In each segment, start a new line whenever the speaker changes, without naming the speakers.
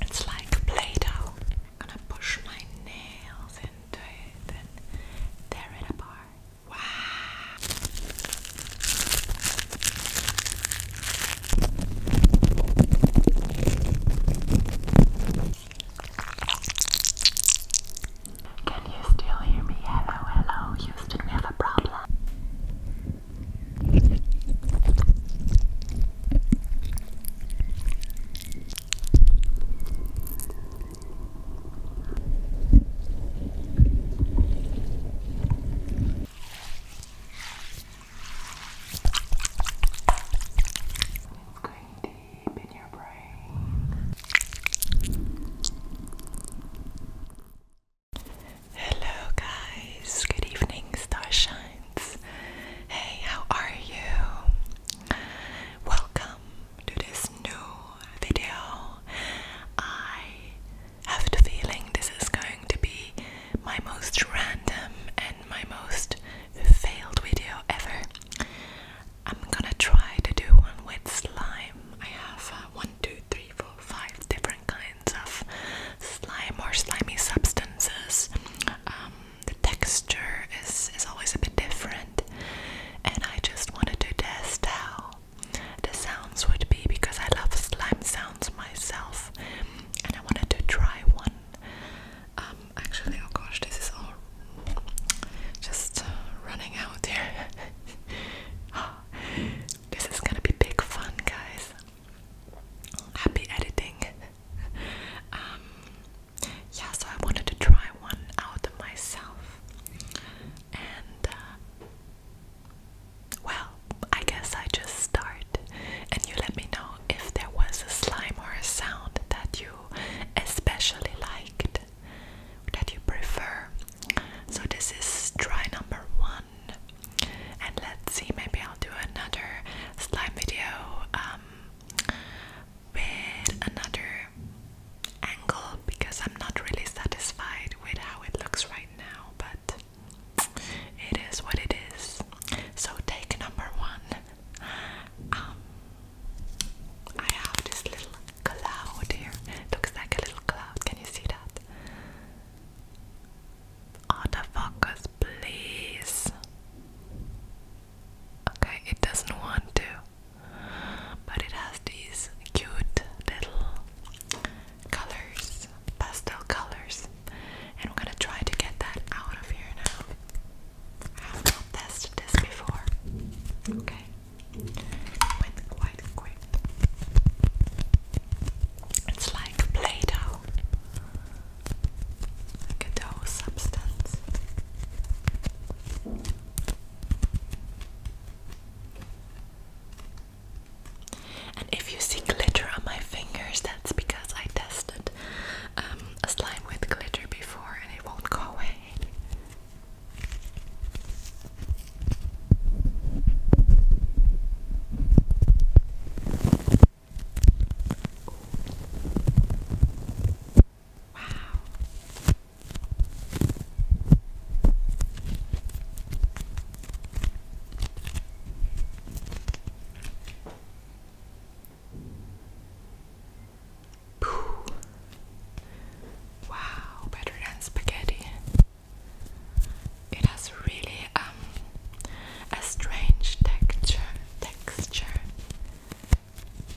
It's like Play-Doh. I'm gonna push my nails into it and tear it apart. Wow! Can you still hear me? Hello, hello. Houston, have a problem. It's going deep in your brain. Hello, guys. Good evening, starshines. Hey, how are you? Welcome to this new video. I have the feeling this is going to be my most random and my most failed video ever. I'm gonna try to do one with slime. I have uh, one, two, three, four, five different kinds of slime or slimy substances. Um, the texture is, is always a bit different, and I just wanted to test how the sounds would be because I love slime sounds myself, and I wanted to try one. Um, actually, oh gosh, this is all just uh, running out here. this is gonna be big fun, guys happy editing. Um, yeah, so I wanted to try one out myself, and uh, well, I guess I just start, and you let me know if there was a slime or a sound that you especially liked, that you prefer. So this is try number one. And let's see, maybe I'll do another slime video um, with another angle because I'm not really satisfied with how it looks right now, but it is what it is. So, take number one. Um, I have this little cloud here. looks like a little cloud. Can you see that? autofocus, please. Okay, it doesn't want to, but it has these cute little colors, pastel colors, and we're gonna try to get that out of here now. I have not tested this before. Okay, went quite quick. It's like Play Doh, like a dough substance. And if you see glitter on my fingers, that's because I tested um, a slime with glitter before and it won't go away. Wow. Pooh. Wow, better than spaghetti. It has really um, a strange texture texture.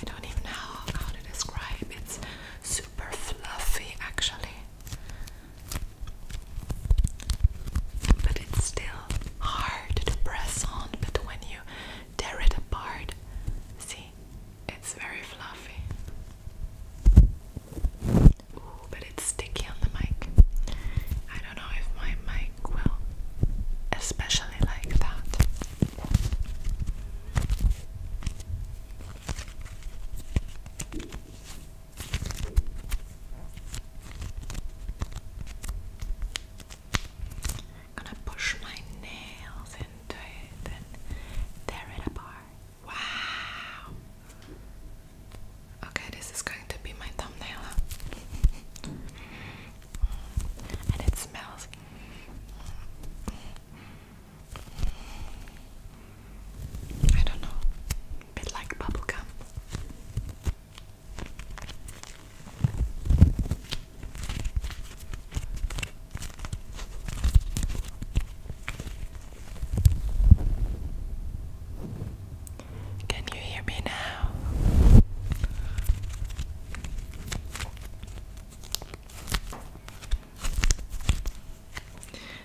I don't even know how to describe it's super fluffy actually. But it's still hard to press on, but when you tear it apart, see, it's very fluffy. Ooh, but it's sticky on the mic. I don't know if my mic will especially like that. gonna push my nails into it and tear it apart. Wow! Okay, this is going to be my thumbnail. and it smells. I don't know. A bit like bubblegum. Can you hear me now?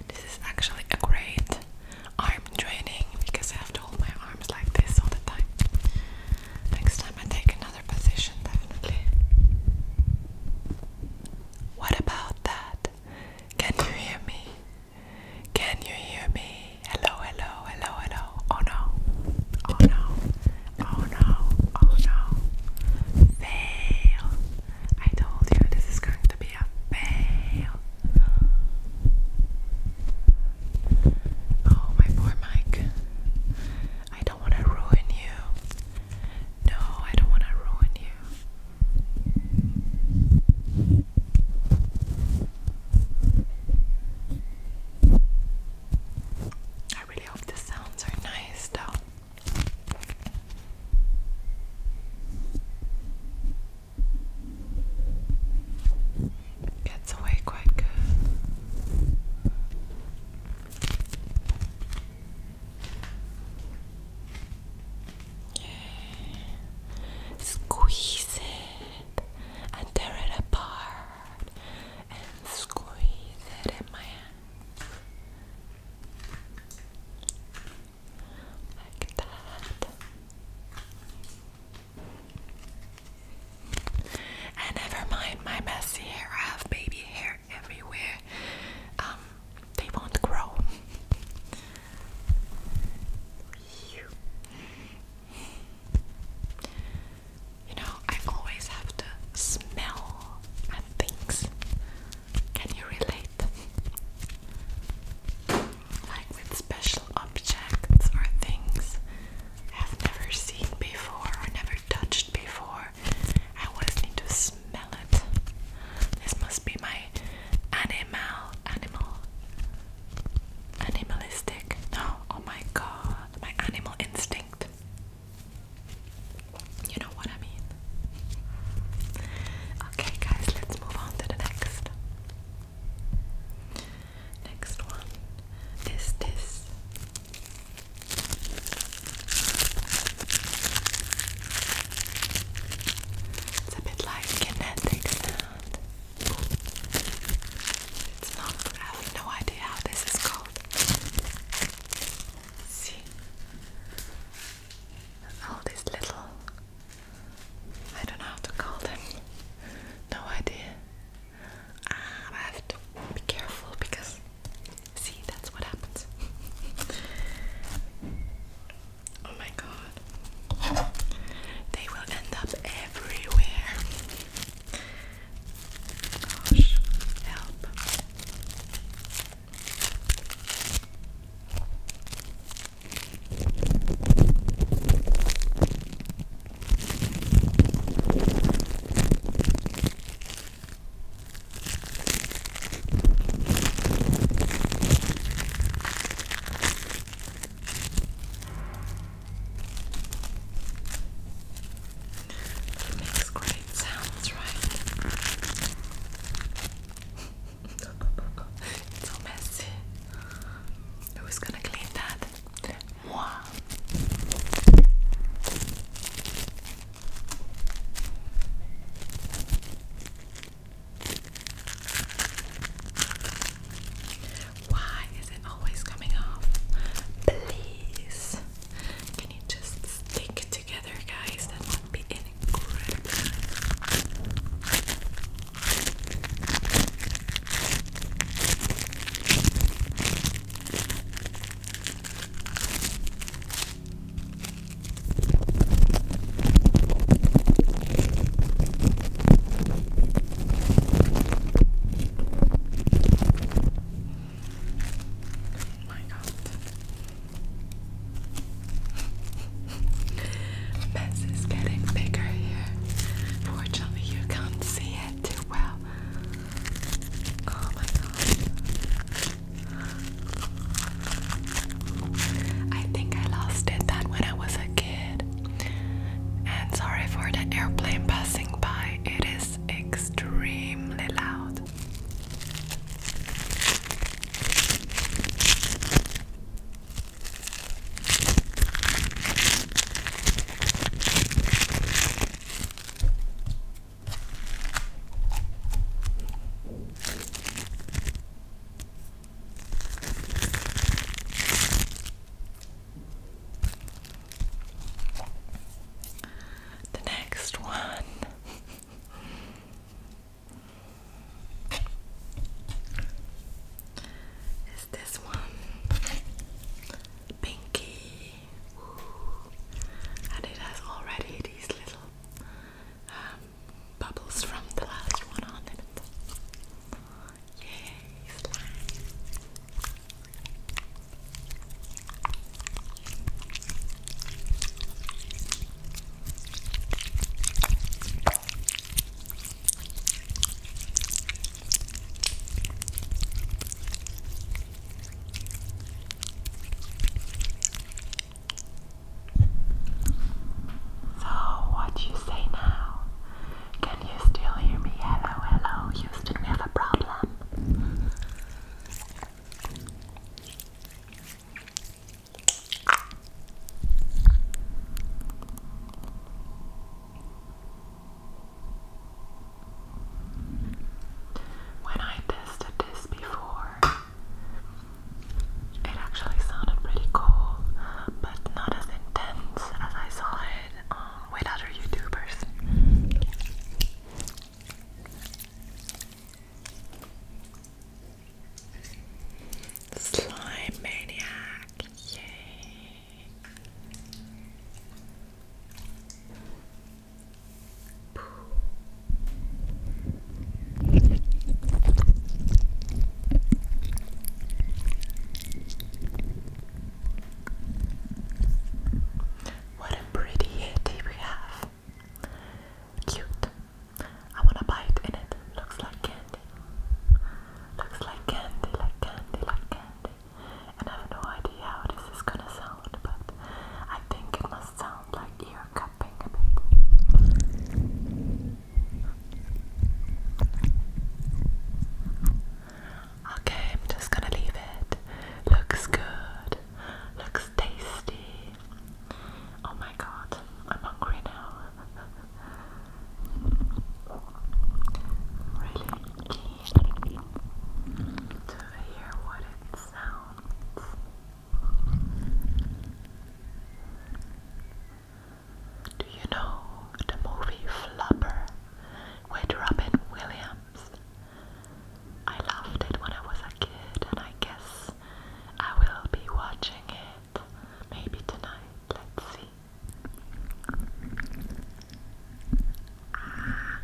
This is actually a great arm training because I have to hold my arms like this all the time. Next time I take another position, definitely. What about that? Can you hear me? Can you hear me? Hello, hello, hello, hello. Oh no. Oh no. Oh no. Oh no. Fail. I told you this is going to be a fail. Oh, my poor Mike. I don't want to ruin you. No, I don't want to ruin you. I really hope the sounds are nice though. Gets away quite good. Squeeze it and tear it apart and squeeze it in my hand like that. And never mind my messy hair. I have baby hair everywhere. Um, they won't grow. You know, I always have to smell things. Can you relate? Like with special objects or things I have never seen before or never touched before. I always need to smell. This must be my animal, animal, animalistic. No, oh my god, my animal instinct. You know what I mean. Okay, guys, let's move on to the next. Next one is this. It's a bit like kinetic sound. It's not, I have no idea how this is called. see? All these little, I don't know how to call them. No idea. Ah, I have to be careful because, see, that's what happens. Oh my god. They will end up everywhere. Gosh, help. It makes great sounds, right? it's so messy. Who's gonna clean that? Moi. Why is it always coming off? Please. Can you just stick it together, guys? That would be incredible. Oh my god. Mess is getting bigger here. Fortunately, you can't see it too well. Oh my god. I think I lost it That when I was a kid. And sorry for the airplane passing by, it is extremely loud. The next one. Is this one pinky? And it has already these little um, bubbles from the last one on it. Yay, so, what you say now? Can you still hear me? Hello, hello, Houston, we have a problem. When I tested this before, it actually sounded pretty cool, but not as intense as I saw it um, with other YouTubers. Slime Maniac, yay! What a pretty yeti we have. Cute. I want to bite in it. Looks like candy. Looks like candy, like candy, like candy. And I have no idea how this is gonna sound, but I think it must sound like ear cup. Okay, I'm just gonna leave it. Looks good. Looks tasty. Oh my god, I'm hungry now. really keen to hear what it sounds do you know the movie Flubber with Robin Williams? I loved it when I was a kid, and I guess I will be watching it maybe tonight. Let's see. Ah.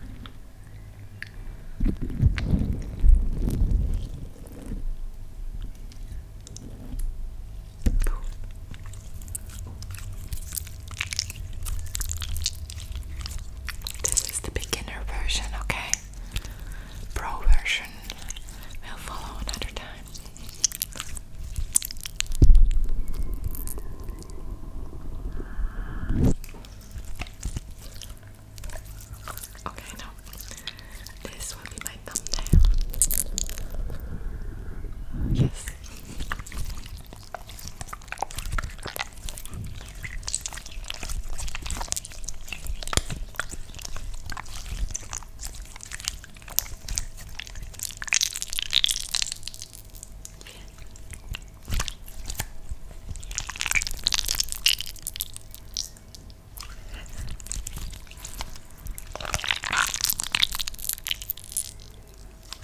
This is the beginner version, okay? Pro version will follow another time. Okay, no. This will be my thumbnail. Yes.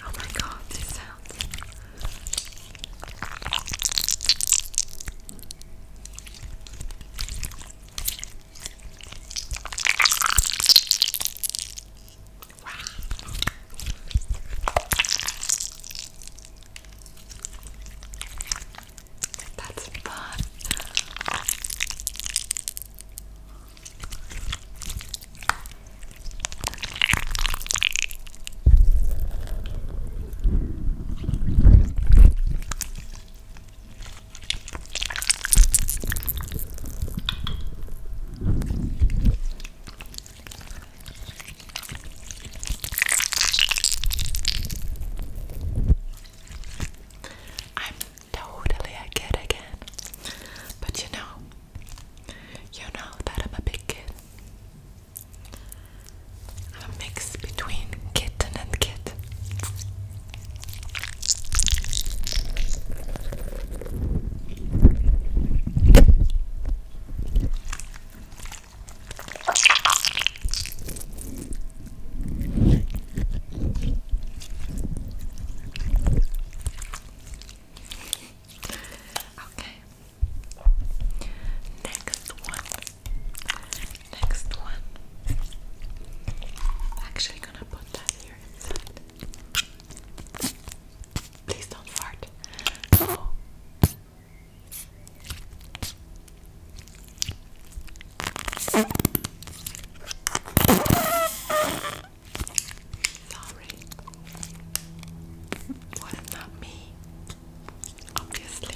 Oh my god, these sounds. Wow. That's fun. I'm totally a kid again. But you know, you know that I'm a big kid. I'm a mix between kitten and kid. Okay. Next one. Next one. I'm actually gonna put that here inside. Please don't fart. Oh. Sorry. What well, not me? Obviously.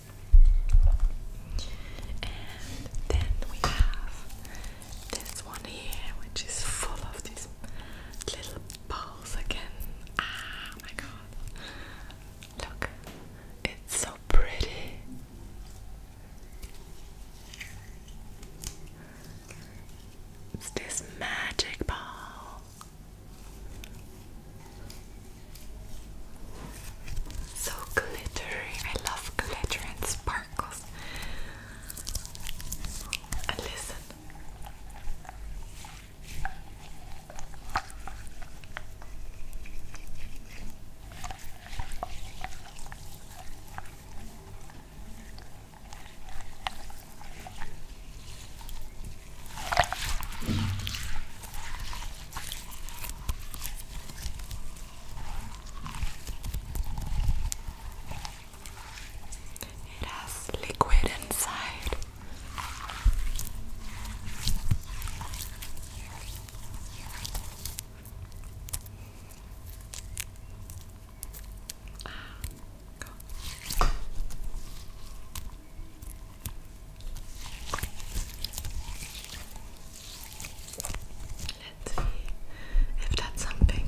And then we have this one here, which is full of these little balls again. Ah, my God! Look, it's so pretty. It's this magic ball. So glittery. I love glitter and sparkles. And listen. It has liquid inside. Ah, Let's see if that's something.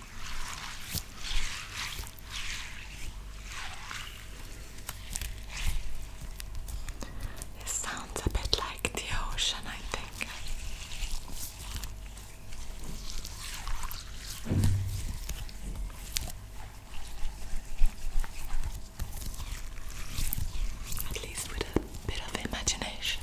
It sounds a bit like the ocean, I think. At least with a bit of imagination.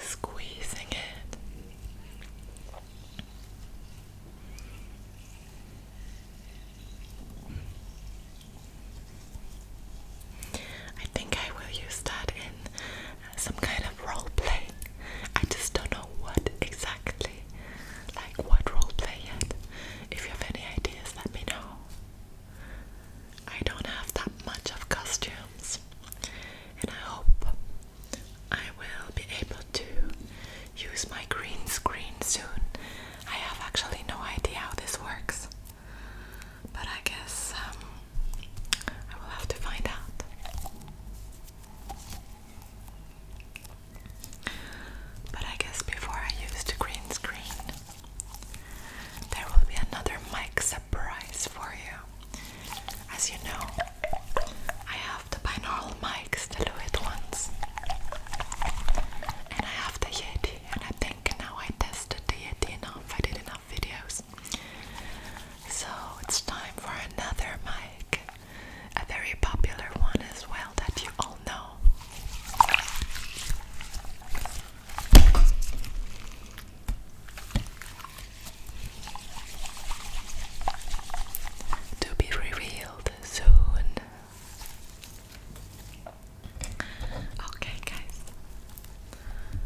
Squeezing it. I think I will use that in some kind of role play. I just don't know what exactly, like what role play yet. If you have any ideas, let me know. I don't have that much of costumes, and I hope I will be able to use my green screen soon. I have actually no idea how this works, but I guess um, I will have to find out. But I guess before I used green screen there will be another mic surprise for you. As you know, I have the binaural mics, the Lewitt ones, and I have the Yeti. And I think now I tested the Yeti enough. I did enough videos, so it's time for another mic, a very popular one as well that you all know. To be revealed soon. Okay, guys.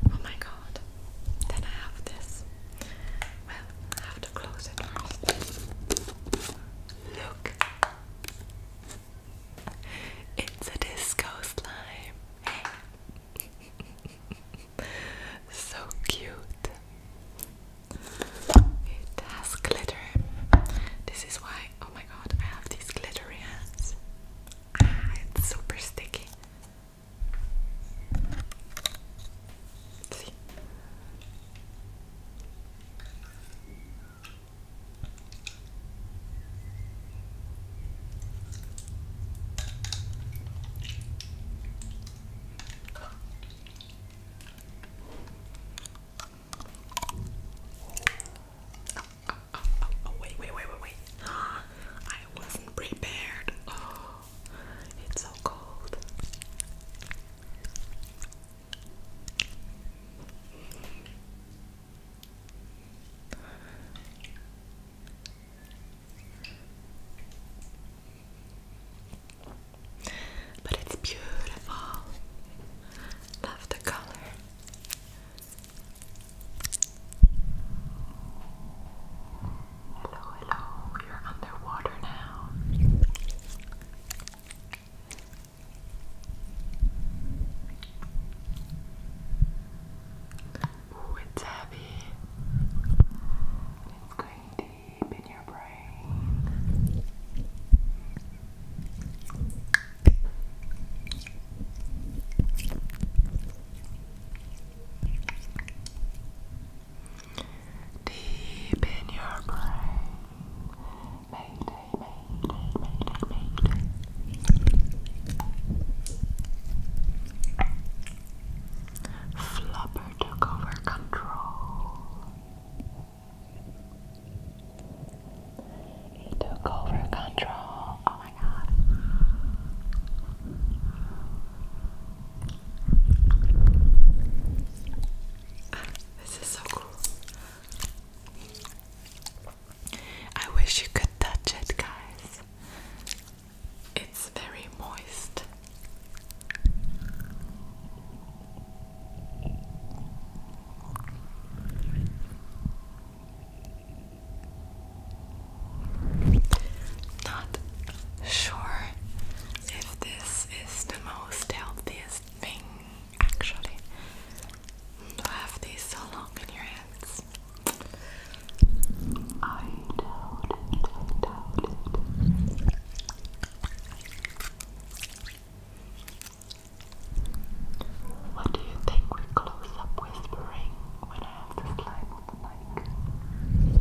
Oh my god. Then I have this. Well, I have to close it Look. It's a disco slime. so cute. It has glitter. This is why, oh my god, I have these glittery hands. Ah, it's super sticky. See? Oh, wait, wait, wait, wait, wait. I wasn't prepared. Oh, it's so cold. But it's beautiful. Love the color. Hello, hello. You're underwater now. Ooh, it's heavy. It's going deep in your brain. Deep in your brain, Flubber took over control. He took over control. Oh my god. This is so cool. I wish you could touch it, guys. It's very moist. Not sure if this is the most healthiest thing actually to have these so long in your hands. I doubt it, I What do you think we close up whispering when I have this line with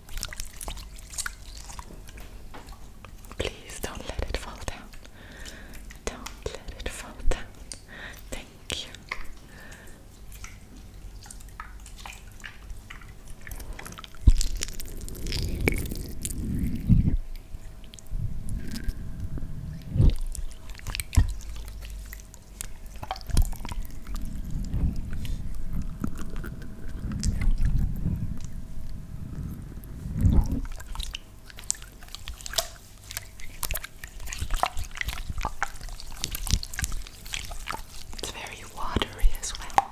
Please don't let it fall down. Don't let it fall down. Thank you. It's very watery as well.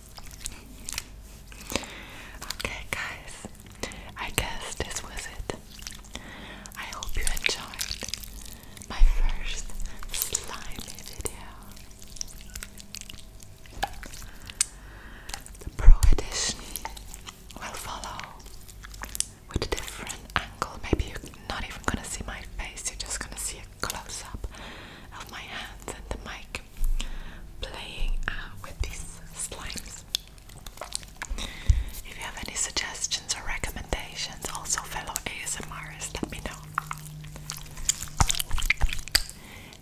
Okay, guys, I guess this was it. I hope you enjoyed my first slimy video. The Pro Edition will follow with a different angle. Maybe you're not even gonna see my face, you're just gonna see close up of my hands and the mic playing uh, with these slimes. If you have any suggestions or recommendations, also fellow ASMRs, let me know.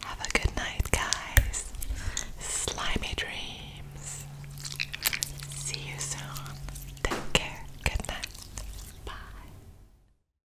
Have a good night, guys. Slimy dreams. See you soon. Take care. Good night. Bye.